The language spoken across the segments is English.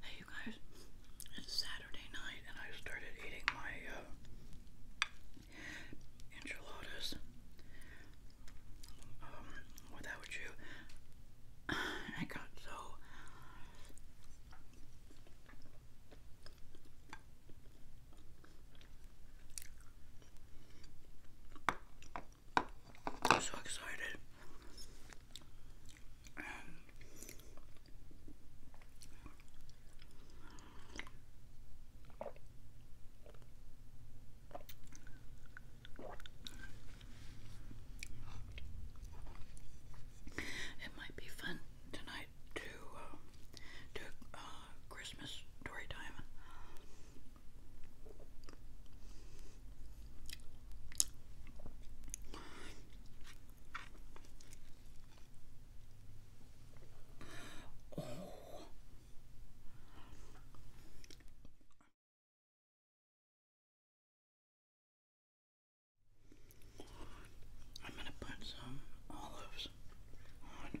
Hey you guys, it's Saturday night and I started eating my uh, enchiladas um, without you. I got so I'm so excited. Um, it might be fun tonight to uh, do uh, Christmas story time Oh. I'm going to put some olives on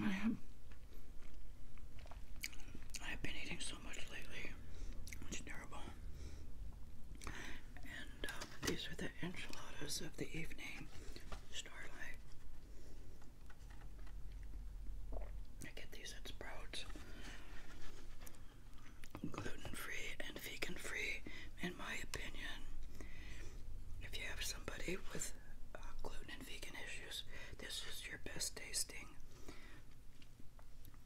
I am. I've been eating so much lately. It's terrible. Um, these are the enchiladas of the evening, Starlight. I get these at Sprouts. Gluten free and vegan free, in my opinion. If you have somebody with uh, gluten and vegan issues, this is your best tasting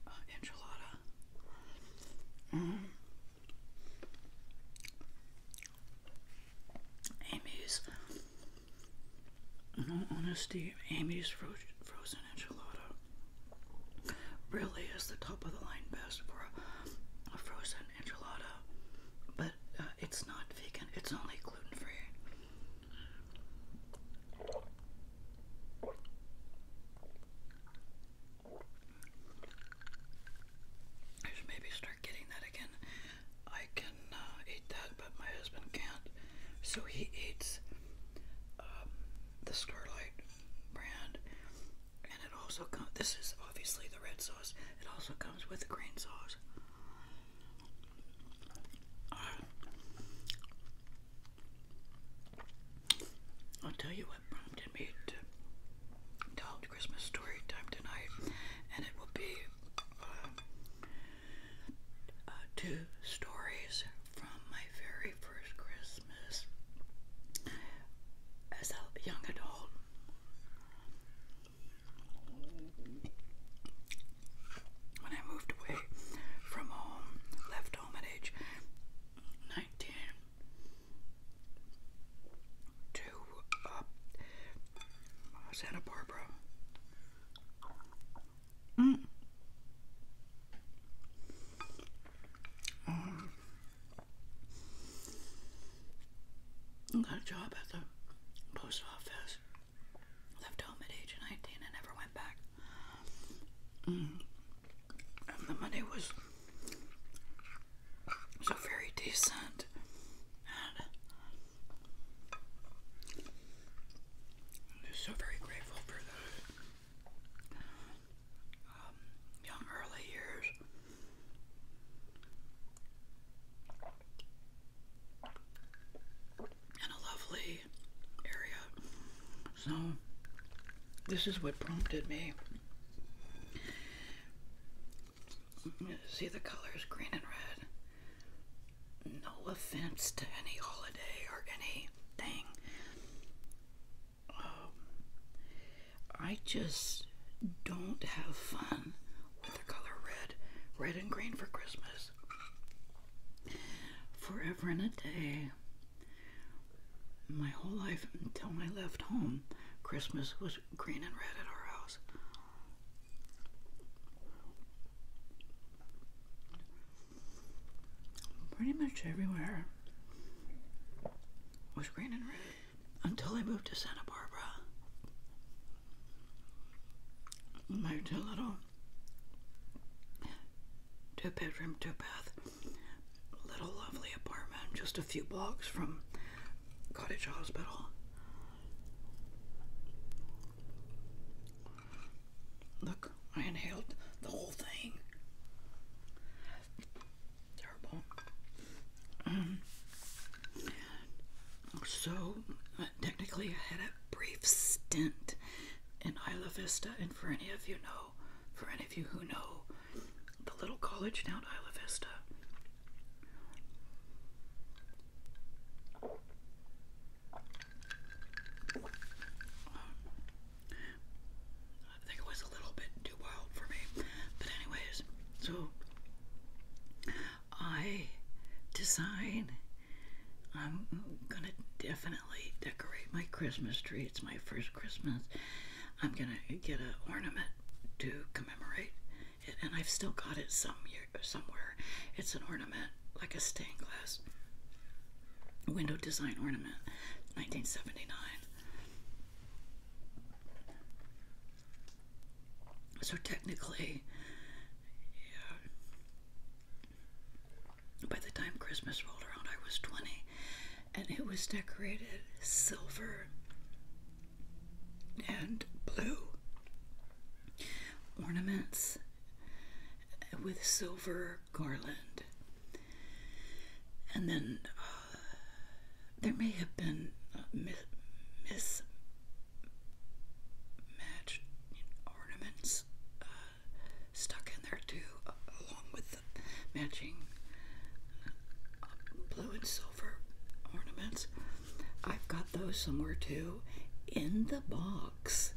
uh, enchilada. Mm-hmm. Amy's, in all honesty, Amy's frozen enchilada really is the top of the line best for a, frozen enchilada, but uh, it's not vegan, it's only gluten free. I should maybe start getting that again. I can uh, eat that, but my husband can't. So he eats um, the Starlight brand, and it also comes. This is obviously the red sauce. It also comes with the green sauce. I'll tell you what prompted me to tell Christmas story time tonight, and it will be uh, uh, two stories from my very first Christmas as a young adult. When I moved away from home, left home at age 19, to uh, Santa Barbara. Mm. Um, I got a job at the post office. Left home at age 19 and never went back. Mm. And the money was so very decent. And so very grateful for those um, young early years. and a lovely area. So, this is what prompted me See the colors green and red. No offense to any holiday or anything. Um, I just don't have fun with the color red, red and green for Christmas. Forever and a day, my whole life until I left home, Christmas was green and red at our house. Pretty much everywhere was green and red until I moved to Santa Barbara. Moved to a little two bedroom, two bath little lovely apartment just a few blocks from Cottage Hospital. Look, I inhaled the whole thing. Terrible. so, uh, technically, I had a brief stint in Isla Vista, and for any of you know, for any of you who know the little college down Isla Vista. Um, I think it was a little bit too wild for me, but anyways, so I design. I'm gonna definitely decorate my Christmas tree. It's my first Christmas I'm gonna get an ornament to commemorate it, and I've still got it some somewhere. It's an ornament, like a stained glass window design ornament, 1979. So technically, yeah, by the time Christmas rolled around, I was 20 and it was decorated silver and blue ornaments with silver garland. And then uh, there may have been mis- mismatched ornaments uh, stuck in there too, along with matching uh, blue and silver ornaments. I've got those somewhere too in the box,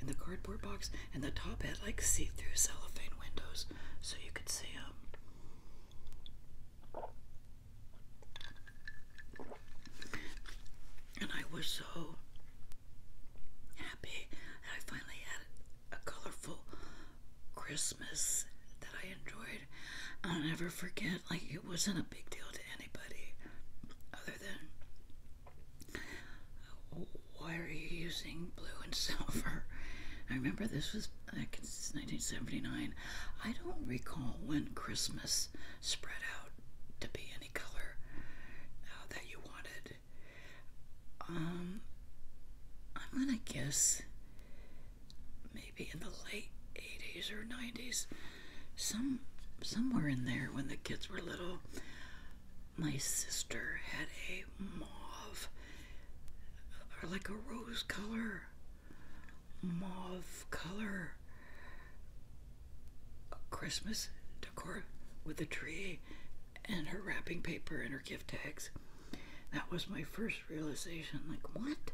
in the cardboard box, and the top had like see through cellophane windows so you could see them. And I was so happy that I finally had a colorful Christmas that I enjoyed. I'll never forget, like, it wasn't a big deal to anybody other than why are you using blue and silver? I remember this was like it's 1979. I don't recall when Christmas spread out to be any color uh, that you wanted. Um, I'm gonna guess maybe in the late 80s or 90s, some somewhere in there when the kids were little, my sister had a mauve or like a rose color, mauve color Christmas decor with a tree and her wrapping paper and her gift tags. That was my first realization like, what?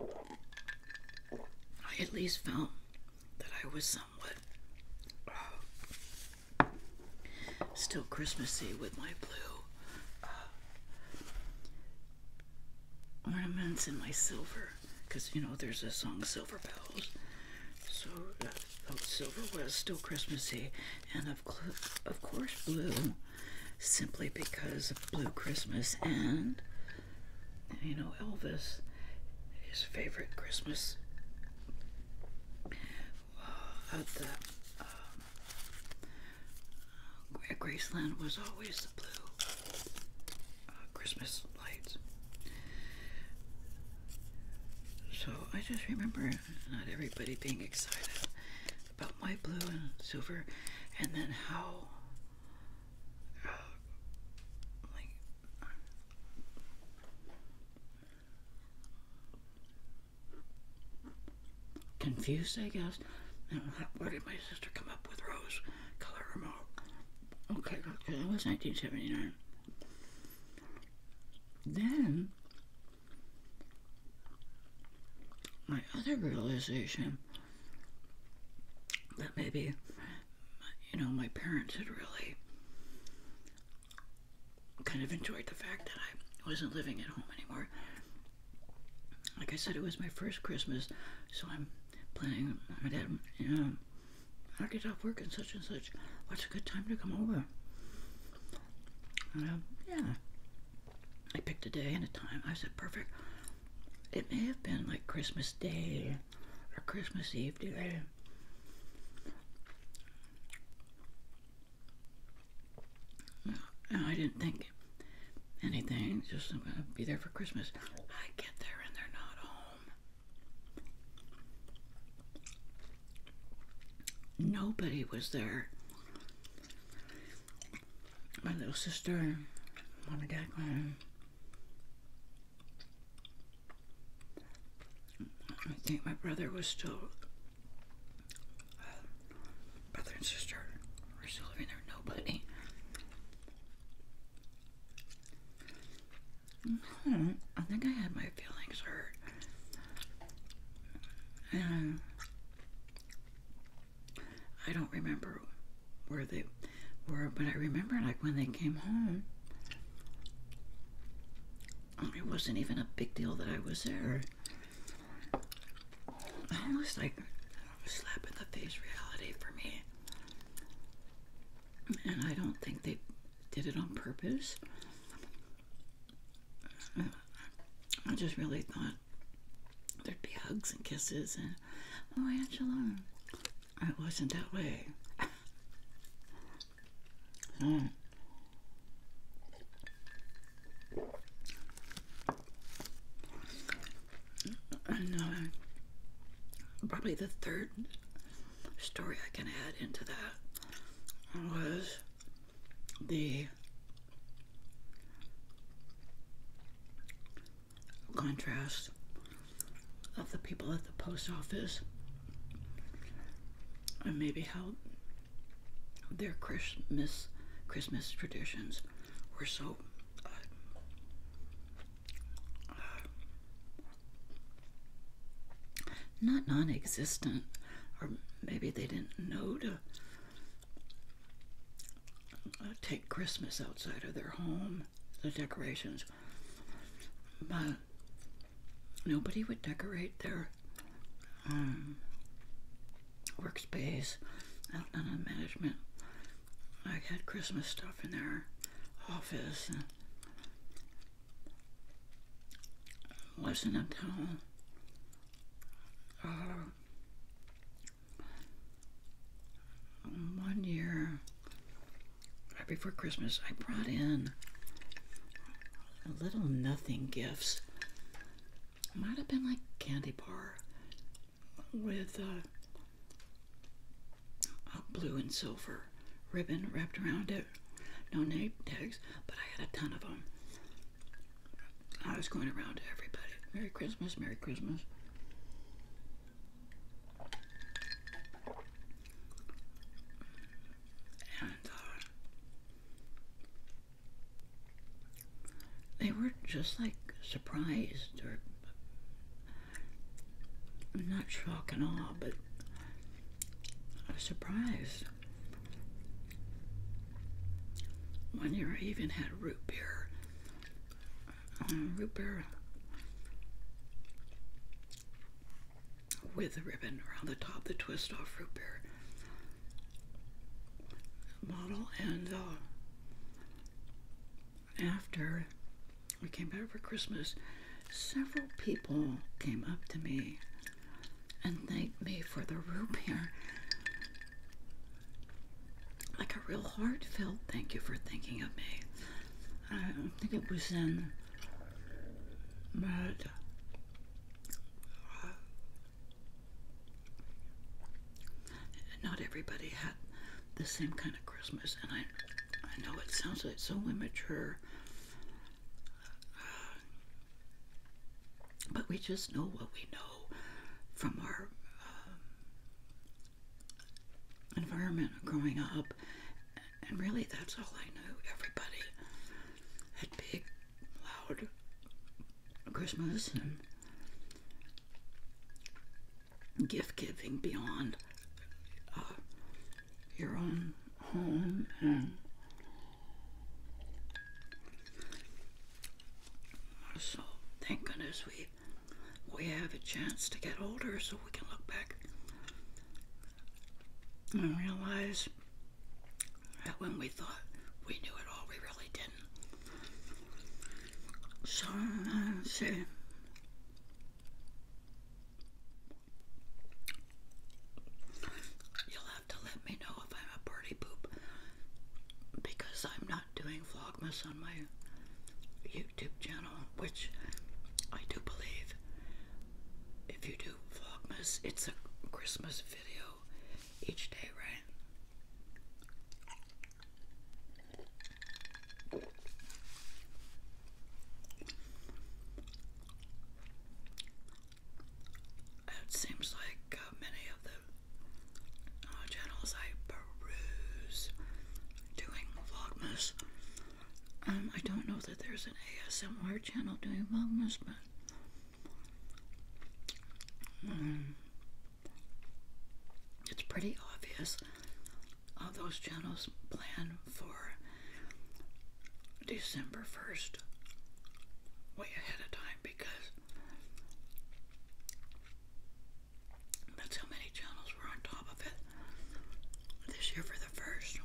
I at least felt that I was somewhat uh, still Christmassy with my blue uh, ornaments and my silver. Because, you know, there's a song, Silver Bells. So, uh, oh, silver was still Christmassy. And of, course, blue, simply because of Blue Christmas and, you know, Elvis, his favorite Christmas uh, at the at um, uh, Graceland was always the blue uh, Christmas lights. So I just remember not everybody being excited about white, blue, and silver, and then how, uh, like, confused, I guess. Where did my sister come up with rose color remote? Okay, that was 1979. Then my other realization that maybe you know my parents had really kind of enjoyed the fact that I wasn't living at home anymore. Like I said, it was my first Christmas, so I'm planning. My dad, you know, I get off work and such and such. What's a good time to come over? I, yeah, I picked a day and a time. I said, perfect. It may have been like Christmas Day or Christmas Eve today. And I didn't think anything, just I'm going to be there for Christmas. I get there and they're not home. Nobody was there. My little sister and mom and I think my brother was still, uh, brother and sister were still living there. Nobody. Hmm, I think I had my feelings hurt. Um, I don't remember where they were, but I remember like when they came home, it wasn't even a big deal that I was there. It was like a slap in the face reality for me. And I don't think they did it on purpose. I just really thought there'd be hugs and kisses and, oh, Angela. It wasn't that way. Hmm. and uh, probably the third story I can add into that was the contrast of the people at the post office and maybe how their Christmas traditions were so uh, uh, not non existent, or maybe they didn't know to uh, take Christmas outside of their home, the decorations. But nobody would decorate their um, workspace out in management. I had Christmas stuff in their office wasn't until uh, one year right before Christmas, I brought in a little nothing gifts. Might have been like candy bar with uh, a blue and silver ribbon wrapped around it no name tags, but I had a ton of them. I was going around to everybody. Merry Christmas, Merry Christmas. And uh, they were just like surprised or not shocked at all, but I surprised. One year I even had root beer. Um, root beer with a ribbon around the top, the twist off root beer model. And uh, after we came back for Christmas, several people came up to me and thanked me for the root here, Like a real heartfelt thank you for thinking of me. I think it was in mud. Uh, not everybody had the same kind of Christmas, and I, I know it sounds like so immature. Uh, but we just know what we know from our um, environment growing up. And really, that's all I knew. Everybody had big, loud Christmas gift giving beyond uh, your own home mm-hmm. and so thank goodness we we have a chance to get older so we can look back and realize that when we thought we knew it all, we really didn't. So, You'll have to let me know if I'm a party poop because I'm not doing Vlogmas on my YouTube channel, which I do believe if you do Vlogmas, it's a Christmas video each day, right? It seems like uh, many of the uh, channels I peruse doing Vlogmas. Um, I don't know that there's an ASMR channel doing Vlogmas, but. Um, it's pretty obvious all those channels plan for December 1st way ahead of time because that's how many channels were on top of it this year for the first.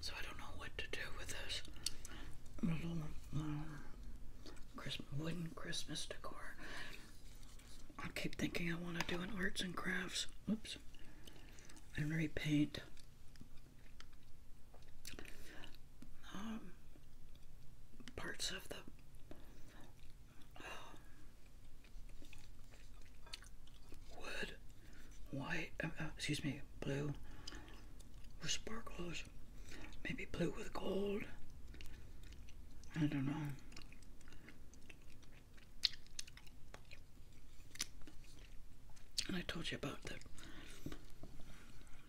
So I don't know what to do with this little um, Christmas, wooden Christmas decor. I keep thinking I want to do an arts and crafts. Oops. And repaint. Um, parts of the wood, white, uh, uh, excuse me, blue with sparkles, maybe blue with gold. I don't know. And I told you about the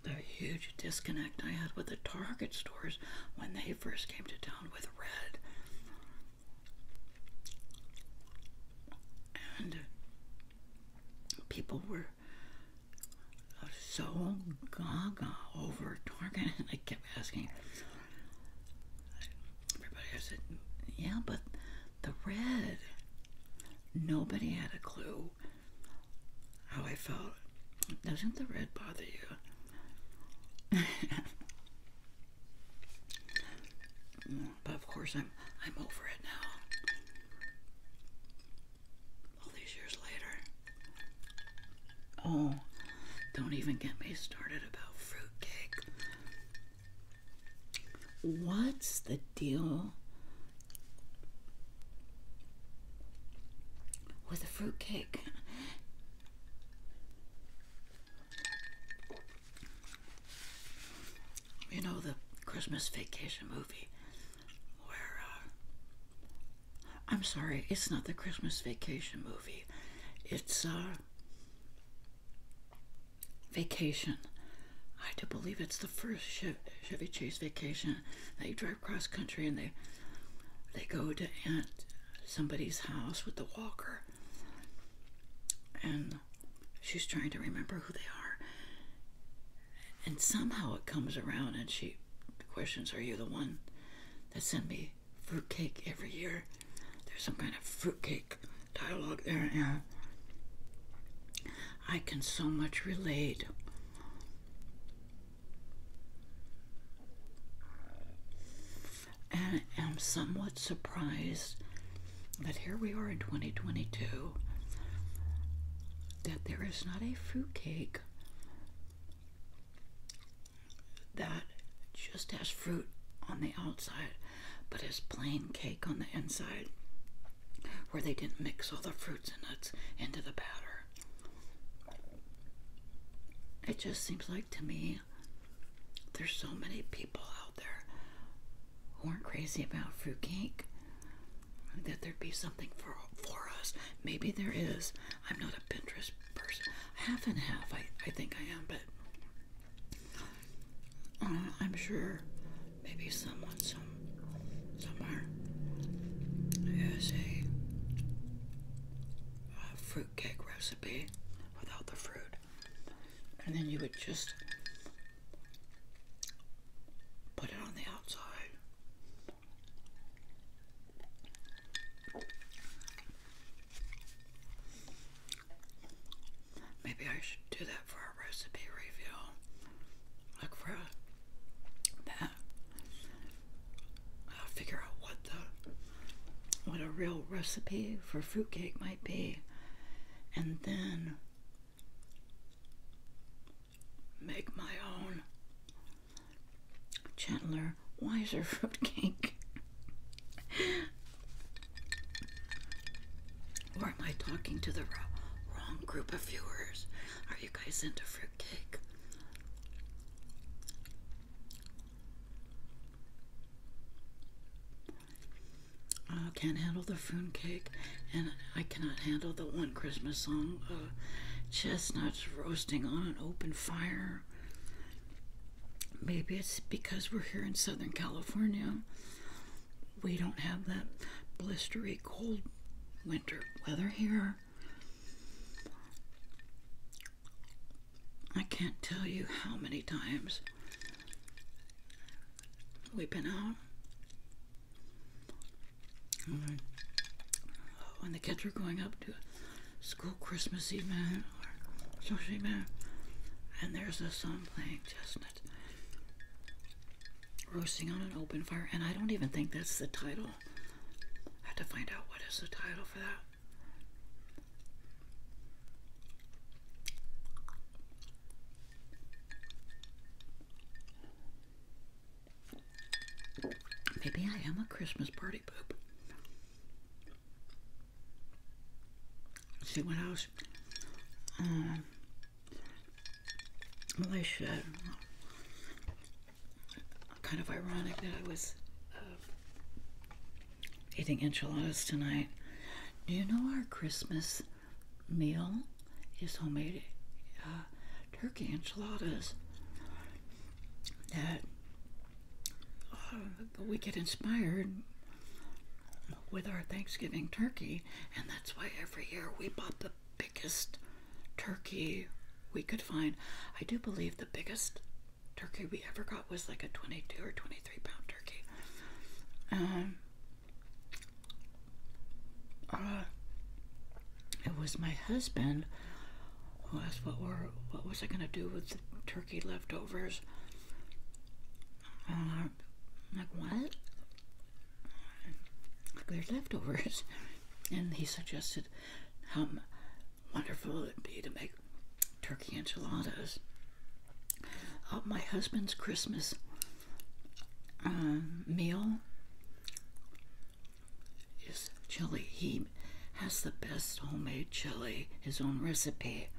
the huge disconnect I had with the Target stores when they first came to town with red and people were so gaga over Target, and I kept asking everybody. I said, "Yeah, but the red." Nobody had a clue how I felt. Doesn't the red bother you? But of course, I'm I'm over it now. All these years later. Oh, don't even get me started about fruitcake. What's the deal with a fruitcake? You know, the Christmas vacation movie where, uh, I'm sorry, it's not the Christmas vacation movie. It's, uh, Vacation. I do believe it's the first Chevy Chase vacation. They drive cross country and they they go to Aunt somebody's house with the walker. And she's trying to remember who they are. And somehow it comes around and she questions, Are you the one that sent me fruitcake every year? There's some kind of fruitcake dialogue there. And I can so much relate and am somewhat surprised that here we are in 2022 that there is not a fruit cake that just has fruit on the outside but is plain cake on the inside where they didn't mix all the fruits and nuts into the batter. It just seems like to me there's so many people out there who aren't crazy about fruitcake that there'd be something for for us. Maybe there is. I'm not a Pinterest person. Half and half, I, I think I am, but uh, I'm sure maybe someone some somewhere has a, a fruitcake recipe without the fruit and then you would just put it on the outside. Maybe I should do that for a recipe review. Look for that. figure out what what a real recipe for fruitcake might be and then make my own gentler wiser fruitcake or am i talking to the wrong group of viewers are you guys into fruitcake I can't handle the phone cake, and I cannot handle the one Christmas song. Uh, chestnuts roasting on an open fire. Maybe it's because we're here in Southern California. We don't have that blistery cold winter weather here. I can't tell you how many times we've been out. when the kids are going up to school Christmas Eve, man, or social event, and there's this song playing, Chestnut, roasting on an open fire, and I don't even think that's the title. I have to find out what is the title for that. Maybe I am a Christmas party poop. See what else? Um, Malaysia. Kind of ironic that I was uh, eating enchiladas tonight. Do you know our Christmas meal is homemade uh, turkey enchiladas that uh, we get inspired with our Thanksgiving turkey, and that's why every year we bought the biggest turkey we could find. I do believe the biggest turkey we ever got was like a 22 or 23 pound turkey. Um, uh, it was my husband who asked what were what was I gonna do with the turkey leftovers. Uh, like what? Like they leftovers, and he suggested hum wonderful it'd be to make turkey enchiladas. Uh, my husband's Christmas um, meal is chili. He has the best homemade chili, his own recipe.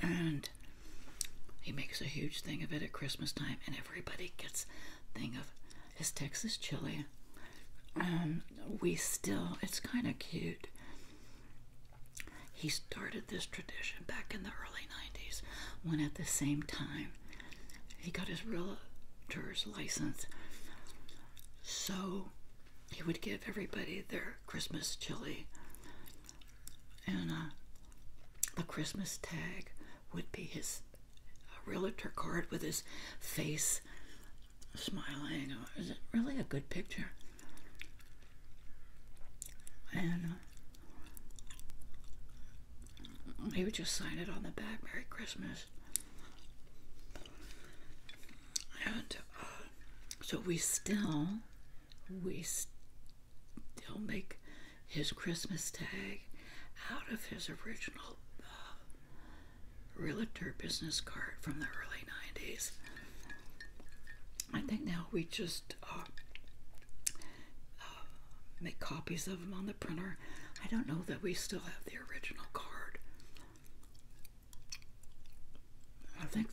And he makes a huge thing of it at Christmas time, and everybody gets a thing of his Texas chili. Um, we still, it's kind of cute. He started this tradition back in the early 90s when at the same time he got his realtor's license. So he would give everybody their Christmas chili and uh, the Christmas tag would be his uh, realtor card with his face smiling. Is it really a good picture? And uh, he would just sign it on the back, Merry Christmas. And uh, so we still, we still make his Christmas tag out of his original uh, realtor business card from the early 90s. I think now we just uh, uh, make copies of them on the printer. I don't know that we still have the original card. I think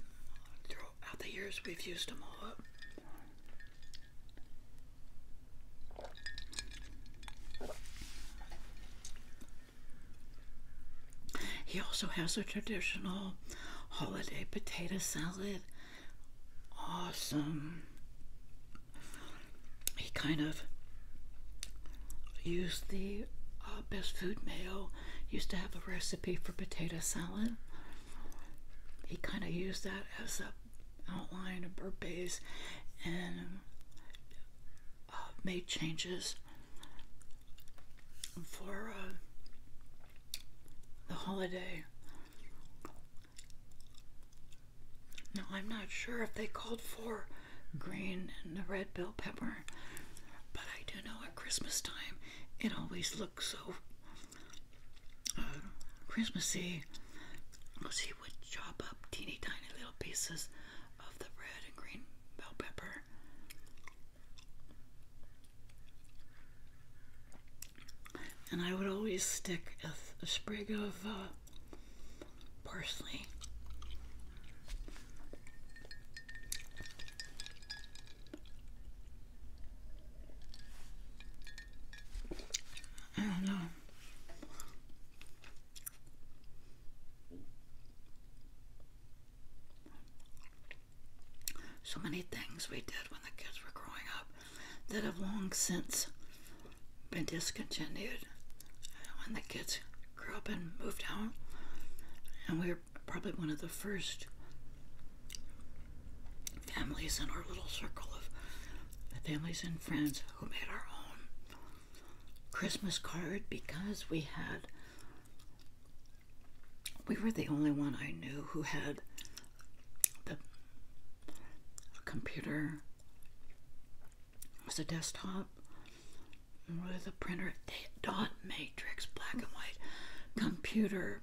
throughout the years we've used them all up. He also has a traditional holiday potato salad. Awesome. He kind of used the uh, best food Mail used to have a recipe for potato salad. He kind of used that as a outline of her and uh, made changes for uh, the holiday. Now, I'm not sure if they called for green and the red bell pepper, but I do know at Christmas time it always looks so uh, Christmassy So he would chop up teeny tiny little pieces of the red and green bell pepper and I would always stick a, sprig of uh, parsley. I don't know. So many things we did when the kids were growing up that have long since been discontinued when the kids grew up and moved out. And we were probably one of the first families in our little circle of families and friends who made our own Christmas card because we had we were the only one I knew who had the computer. It was a desktop with a printer, dot matrix, black and white computer.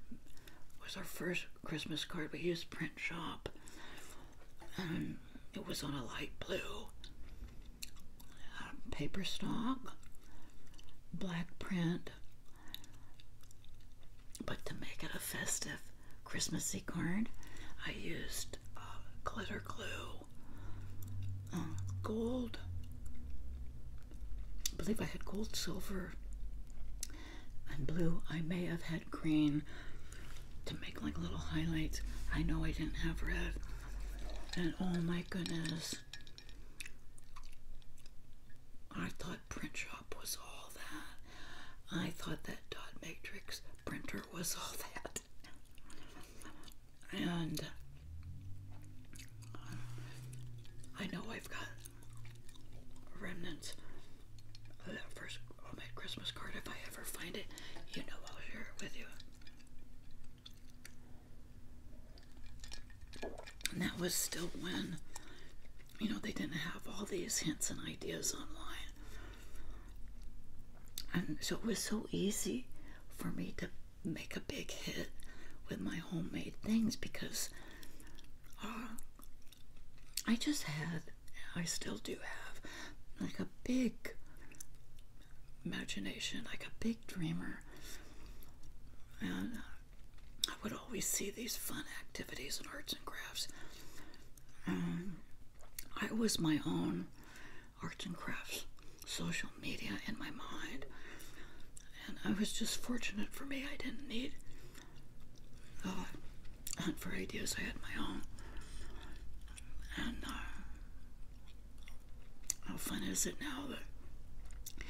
Was our first Christmas card. We used print shop, and it was on a light blue paper stock, black print, but to make it a festive Christmassy card, I used uh, glitter glue, uh, gold. I believe I had gold, silver, and blue. I may have had green to make like little highlights. I know I didn't have red. And oh my goodness, I thought print shop was all that. I thought that dot matrix printer was all that. And I know I've got remnants of that first homemade Christmas card. If I ever find it, you know I'll share it with you. And that was still when, you know, they didn't have all these hints and ideas online. And so it was so easy for me to make a big hit with my homemade things because uh, I just had, I still do have, like a big imagination, like a big dreamer. And uh, I would always see these fun activities and arts and crafts. Um, I was my own arts and crafts social media in my mind. And I was just fortunate for me, I didn't need uh, hunt for ideas, I had my own. And uh, how fun is it now that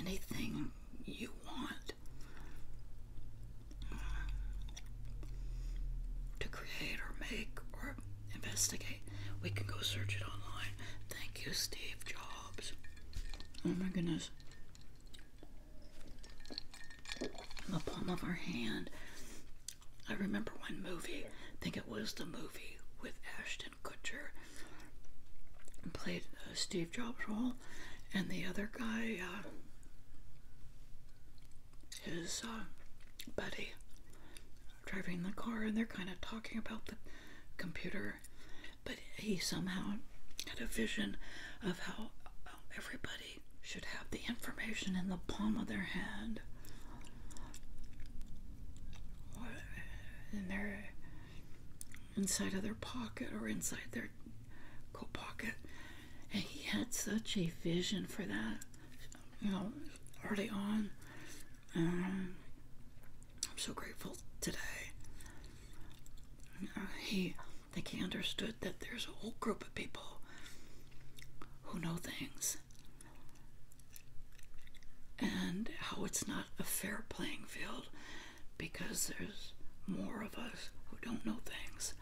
anything you want uh, to create or make or investigate, we can go search it online. Thank you, Steve Jobs. Oh my goodness. In the palm of our hand. I remember one movie, I think it was the movie with Ashton. Ashton played uh, Steve Jobs' role, and the other guy, uh, his uh, buddy, driving the car, and they're kind of talking about the computer, but he somehow had a vision of how everybody should have the information in the palm of their hand in their inside of their pocket or inside their coat pocket. And he had such a vision for that, you know, early on. Um, I'm so grateful today. Uh, he, I think he understood that there's a whole group of people who know things and how it's not a fair playing field because there's more of us who don't know things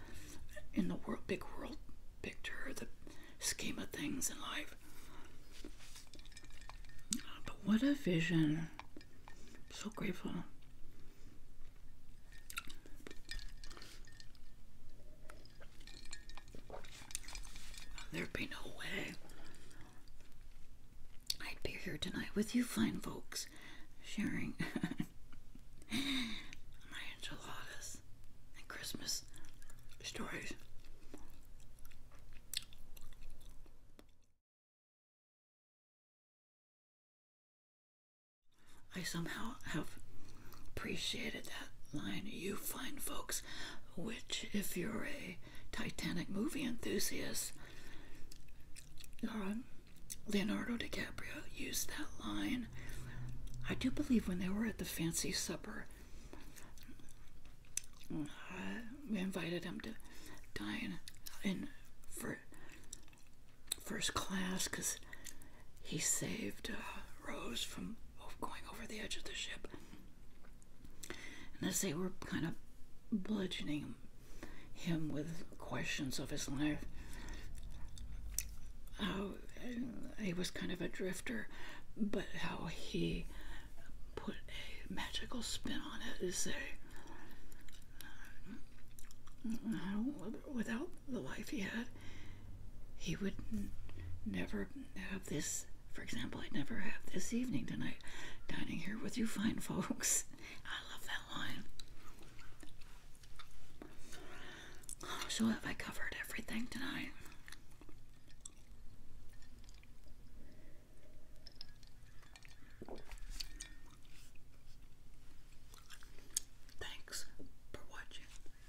in the world, big world picture, the scheme of things in life. But what a vision! so grateful. There'd be no way. I'd be here tonight with you fine folks, sharing my enchiladas and Christmas stories. I somehow have appreciated that line, you fine folks which, if you're a Titanic movie enthusiast, um, Leonardo DiCaprio used that line. I do believe when they were at the fancy supper, uh, we invited him to dine in for first class because he saved uh, Rose from going over the edge of the ship. And as they were kind of bludgeoning him with questions of his life, how uh, he was kind of a drifter, but how he put a magical spin on it is that uh, without the life he had, he would never have this for example, I'd never have this evening tonight dining here with you fine folks. I love that line. So, have I covered everything tonight? Thanks for watching.